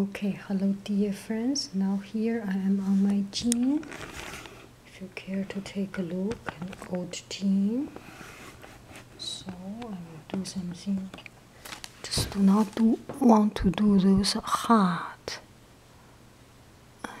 okay hello dear friends now here I am on my jean if you care to take a look an old jean so I will do something just do not do want to do those hard um,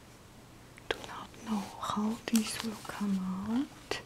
do not know how these will come out.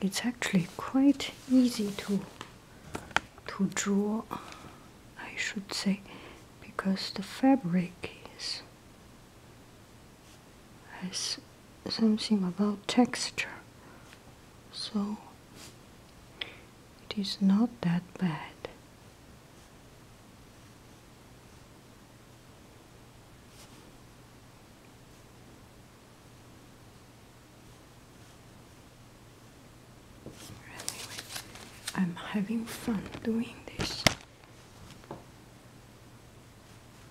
It's actually quite easy to to draw, I should say, because the fabric is has something about texture so it is not that bad Anyway, I'm having fun doing this.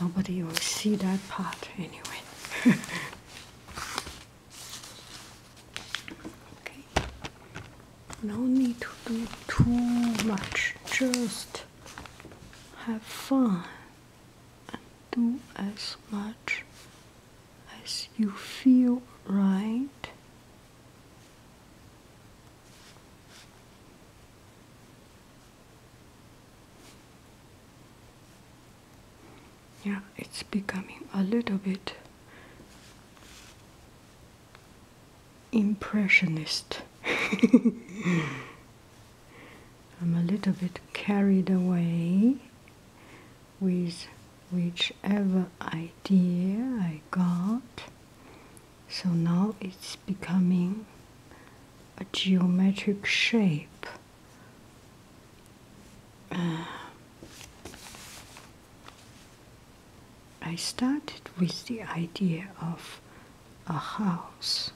Nobody will see that part anyway. okay. No need to do too much. Just have fun and do as much as you feel right yeah it's becoming a little bit impressionist I'm a little bit carried away with whichever idea I got so now it's becoming a geometric shape. Uh, I started with the idea of a house.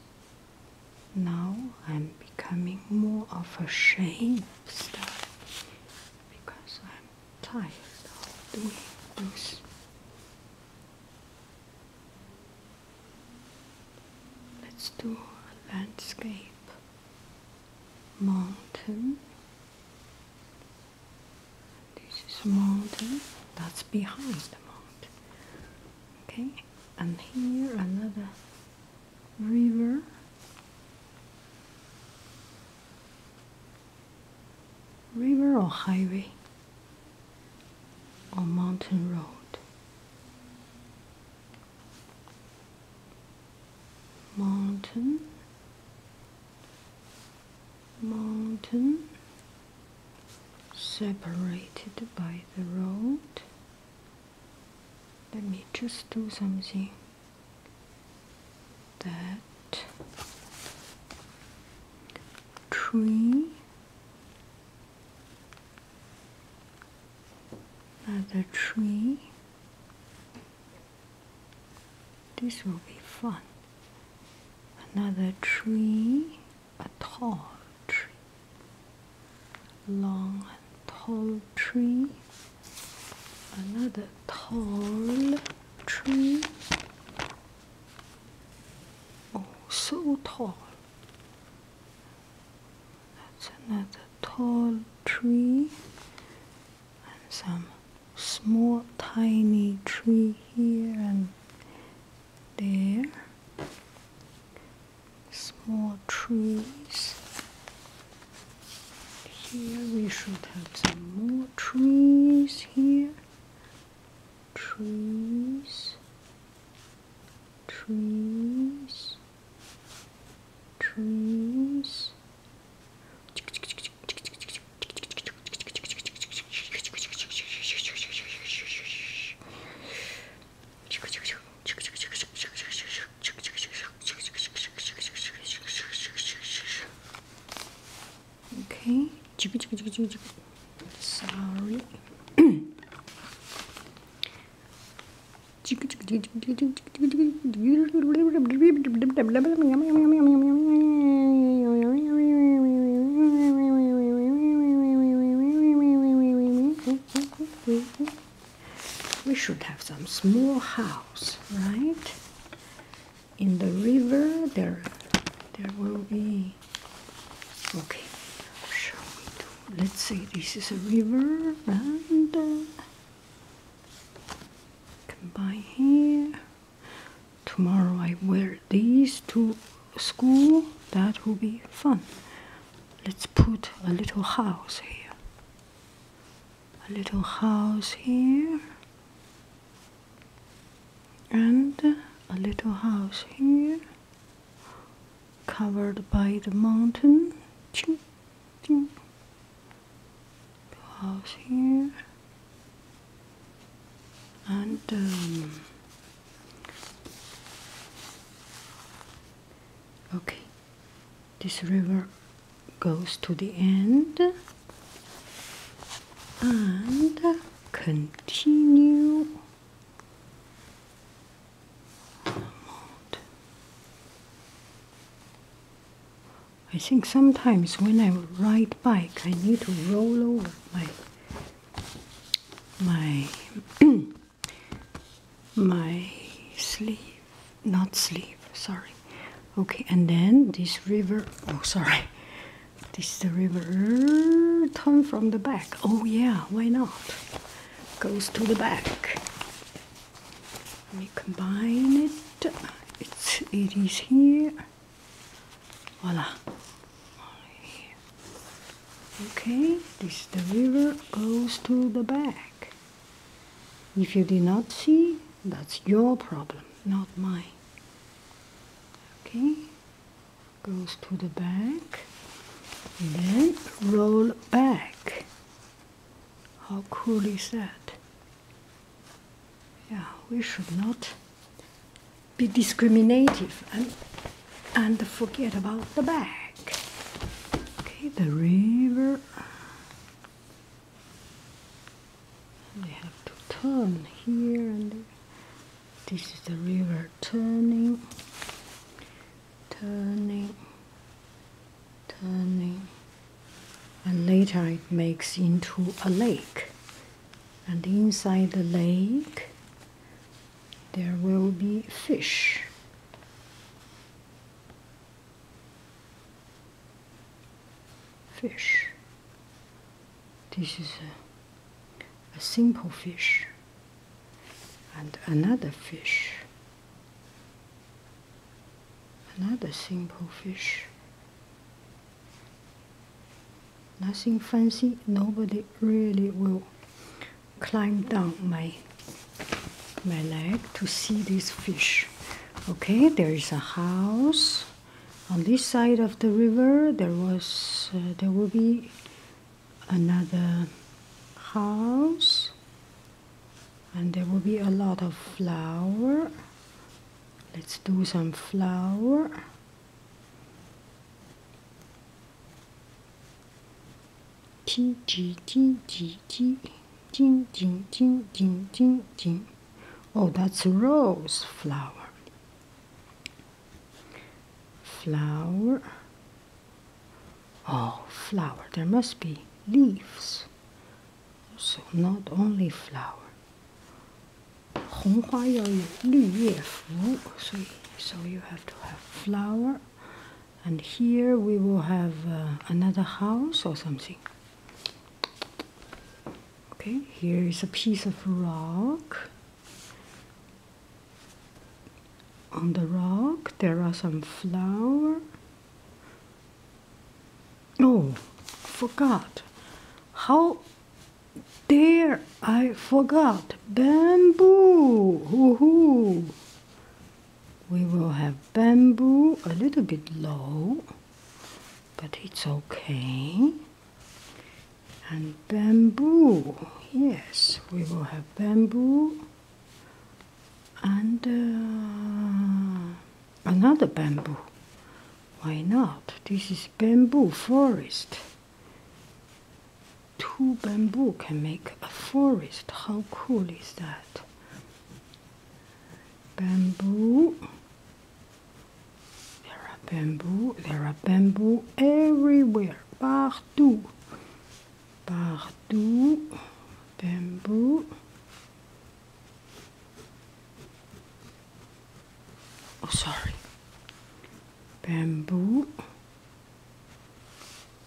Now I'm becoming more of a shape style because I'm tired of doing this. Let's do a landscape mountain. This is a mountain that's behind the mountain. Okay, and here another river. River or highway? on Mountain Road. Mountain, mountain separated by the road. Let me just do something that tree Another tree. This will be fun. Another tree, a tall tree, long tall tree. Another tall tree. Oh, so tall. That's another tall tree and some small tiny tree here and there. Small trees. Here we should have some more trees here trees, trees, trees. Okay. Sorry. We should have some small house, right? In the river, there, there will be Okay, Let's say this is a river and uh, can here. Tomorrow I wear these to school. That will be fun. Let's put a little house here. A little house here and a little house here covered by the mountain house here and um, okay this river goes to the end and continue I think sometimes when I ride bike, I need to roll over my my my sleeve, not sleeve. Sorry. Okay, and then this river. Oh, sorry. This is the river. Turn from the back. Oh yeah, why not? Goes to the back. Let me combine it. It's it is here. Voila. Okay, this is the river goes to the back. If you did not see, that's your problem, not mine. Okay, goes to the back then roll back. How cool is that? Yeah, we should not be discriminative and, and forget about the back. Okay, the river. They have to turn here and this is the river turning, turning, turning, and later it makes into a lake. And inside the lake, there will be fish. Fish. This is a, simple fish and another fish. Another simple fish. Nothing fancy, nobody really will climb down my my leg to see this fish. Okay, there is a house on this side of the river. There was uh, there will be another house and there will be a lot of flower let's do some flower ting ting ting ting ting ting ting ting ting ting oh that's rose flower flower oh flower there must be leaves so not only flower 红花要有绿叶服 so, so you have to have flower and here we will have uh, another house or something okay here is a piece of rock on the rock there are some flower oh forgot how dare i forgot bamboo Woohoo. we will have bamboo a little bit low but it's okay and bamboo. Yes, we will have bamboo and uh, another bamboo. Why not? This is bamboo forest. Two bamboo can make a forest. How cool is that? Bamboo. There are bamboo. There are bamboo everywhere partout. Partout. Bamboo. Oh, sorry. Bamboo.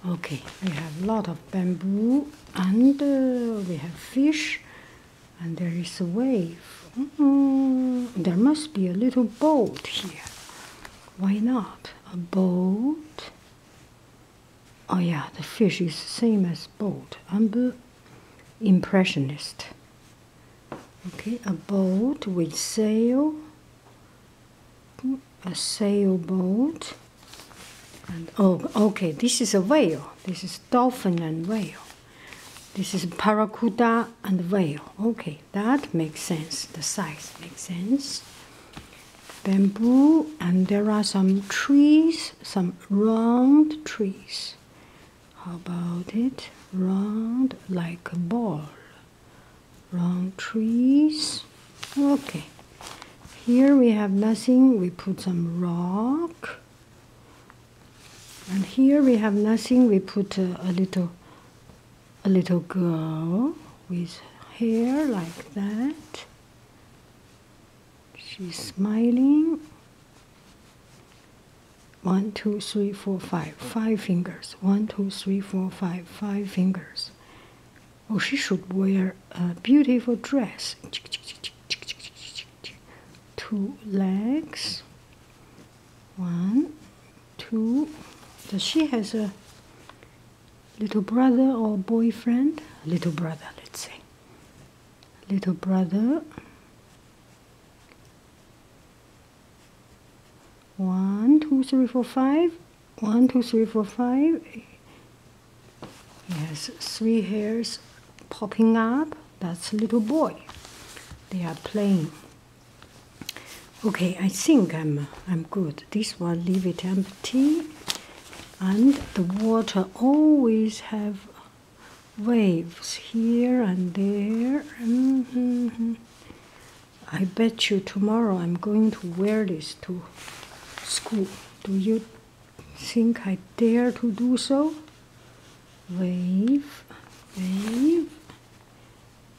Okay, we have a lot of bamboo and uh, we have fish and there is a wave. Mm-hmm. There must be a little boat here. Why not? A boat. Oh yeah, the fish is same as boat. I'm the impressionist. Okay, a boat with sail, a sailboat, oh, okay, this is a whale. This is dolphin and whale. This is paracuda and whale. Okay, that makes sense. The size makes sense. Bamboo, and there are some trees, some round trees. How about it? Round like a ball. Round trees. Okay, here we have nothing. We put some rock. And here we have nothing. We put a little a little girl with hair like that. She's smiling. One, two, three, four, five. Five fingers. One, two, three, four, five. Five fingers. Oh, she should wear a beautiful dress. Two legs. One, two. Does she has a little brother or boyfriend? Little brother, let's say. Little brother. One, two, three, four, five. One, two, three, four, five. He has three hairs popping up. That's a little boy. They are playing. Okay, I think I'm I'm good. This one leave it empty, and the water always have waves here and there. Mm-hmm. I bet you tomorrow I'm going to wear this to school. Do you think I dare to do so? Wave, wave,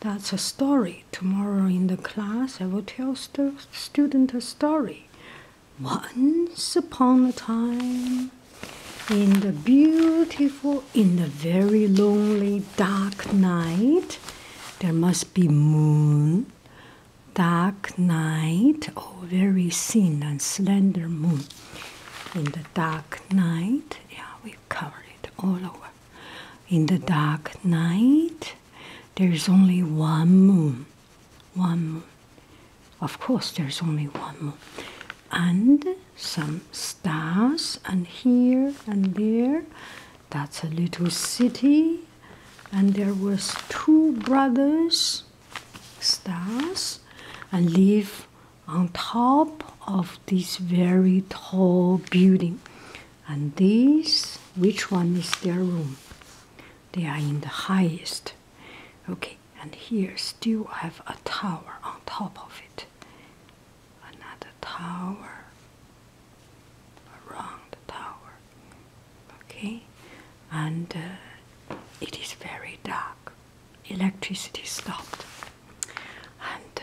that's a story. Tomorrow in the class, I will tell the student a story. Once upon a time, in the beautiful, in the very lonely dark night, there must be moon. Dark night, oh, very thin and slender moon. In the dark night, yeah, cover it all over. In the dark night, there's only one moon. One moon. Of course, there's only one moon. And some stars, and here and there. That's a little city. And there was two brothers, stars, and live on top of this very tall building and these which one is their room they are in the highest okay and here still have a tower on top of it another tower around tower okay and uh, it is very dark electricity stopped and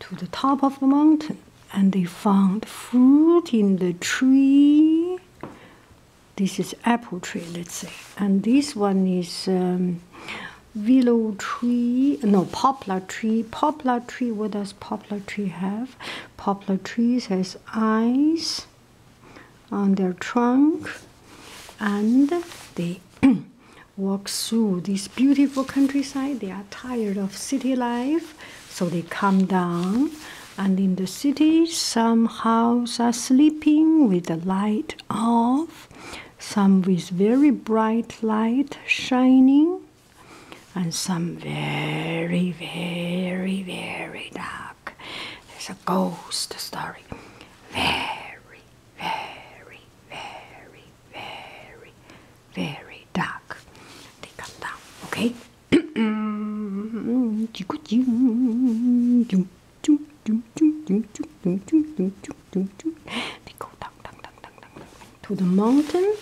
to the top of the mountain and they found fruit in the tree. This is apple tree, let's say, and this one is um, willow tree. No, poplar tree. Poplar tree. What does poplar tree have? Poplar trees has eyes on their trunk, and they Walk through this beautiful countryside. They are tired of city life, so they come down. And in the city, some houses are sleeping with the light off, some with very bright light shining, and some very, very, very dark. There's a ghost story. Very, very very, very, very dark. They come down, okay? they go down, down, down, down, down, to the mountain,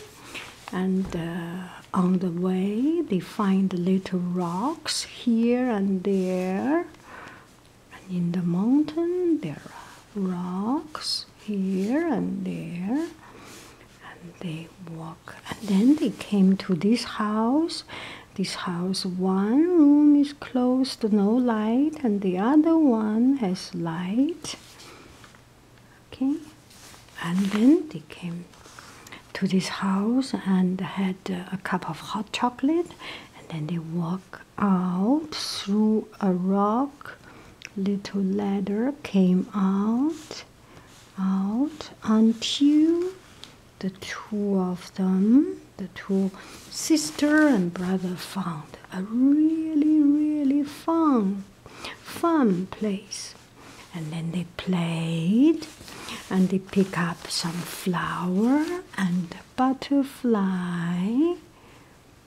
and uh, on the way they find little rocks here and there and in the mountain there are rocks here and there and they walk and then they came to this house this house one room is closed no light and the other one has light okay and then they came to this house and had a cup of hot chocolate and then they walked out through a rock. Little ladder came out, out until the two of them, the two sister and brother, found a really, really fun, fun place. And then they played and they pick up some flower and butterfly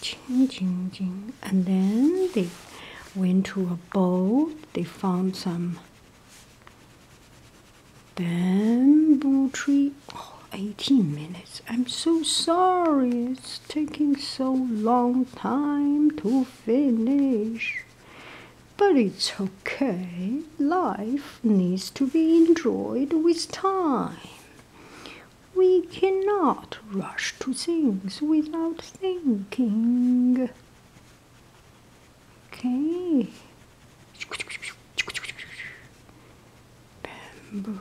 ching, ching, ching. and then they went to a boat they found some bamboo tree oh 18 minutes i'm so sorry it's taking so long time to finish but it's okay life needs to be enjoyed with time we cannot rush to things without thinking. Okay. Bamboo.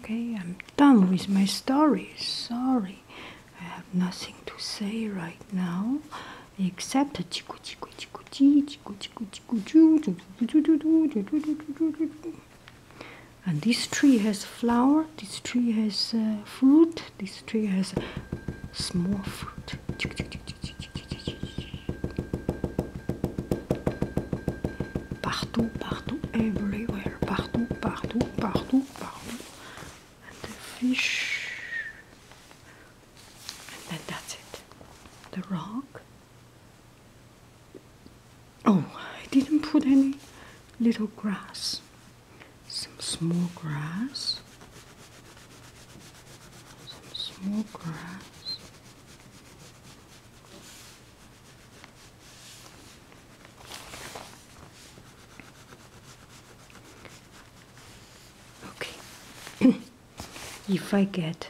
Okay, I'm done with my story. Sorry, I have nothing to say right now except and this tree has flower this tree has uh, fruit this tree has small fruit partout partout everywhere partout partout partout partout and the fish and then that's it. The rock. Oh, I didn't put any little grass. Some small grass. Some small grass. Okay. if I get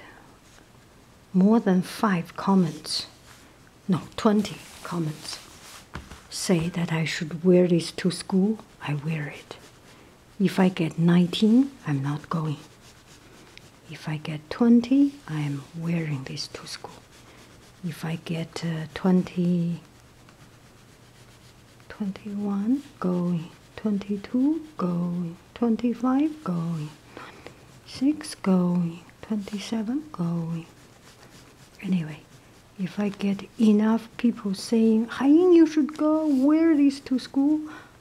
more than five comments, no, 20 comments, say that I should wear this to school, I wear it. If I get 19, I'm not going. If I get 20, I'm wearing this to school. If I get uh, 20, 21, going. 22, going. 25 going, 6 going, 27 going. Anyway, if I get enough people saying, Hain, you should go wear this to school,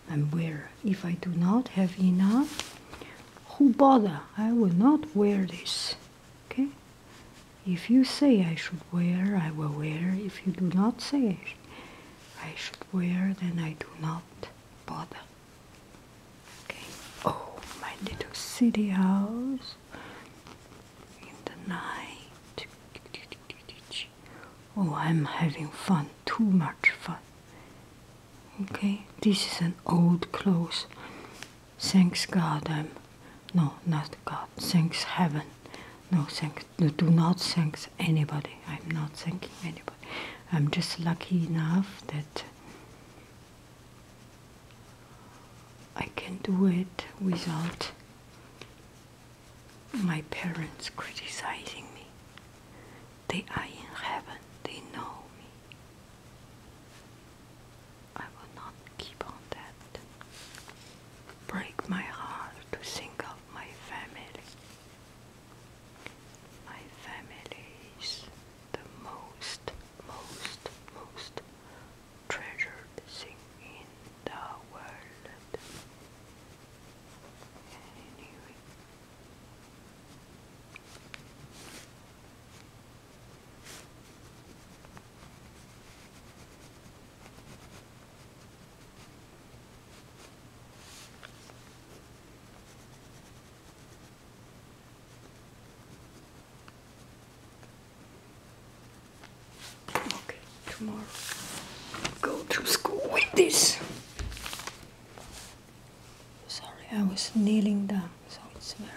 I'm wear. If I do not have enough, who bother? I will not wear this. Okay? If you say I should wear, I will wear. If you do not say I should wear, then I do not bother. Okay. Oh, my little city house in the night. Oh, I'm having fun, too much fun. Okay, this is an old clothes. Thanks God, I'm no, not God. Thanks heaven. No, thanks do not thank anybody. I'm not thanking anybody. I'm just lucky enough that I can do it without my parents criticizing me. They are in heaven, they know me. I will not keep on that. Break my heart to think of my family. My family is the most, most, most treasured thing in the world. Okay, tomorrow go to school with this. Sorry, I was kneeling down, so it's very.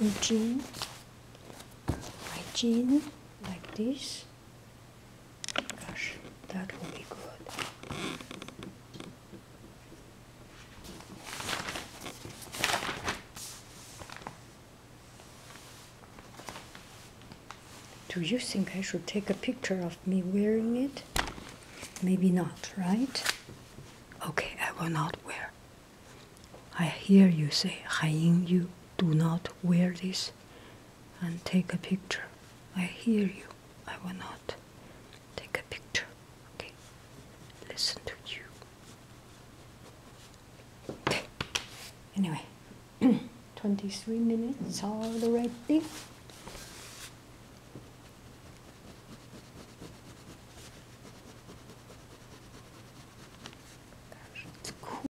My jean, my jean, like this that will be good. Do you think I should take a picture of me wearing it? Maybe not, right? Okay, I will not wear. I hear you say, Haiying, you do not wear this and take a picture. I hear you. I will not take a picture. Okay. Listen to you. Anyway, 23 minutes already. Gosh, it's cool.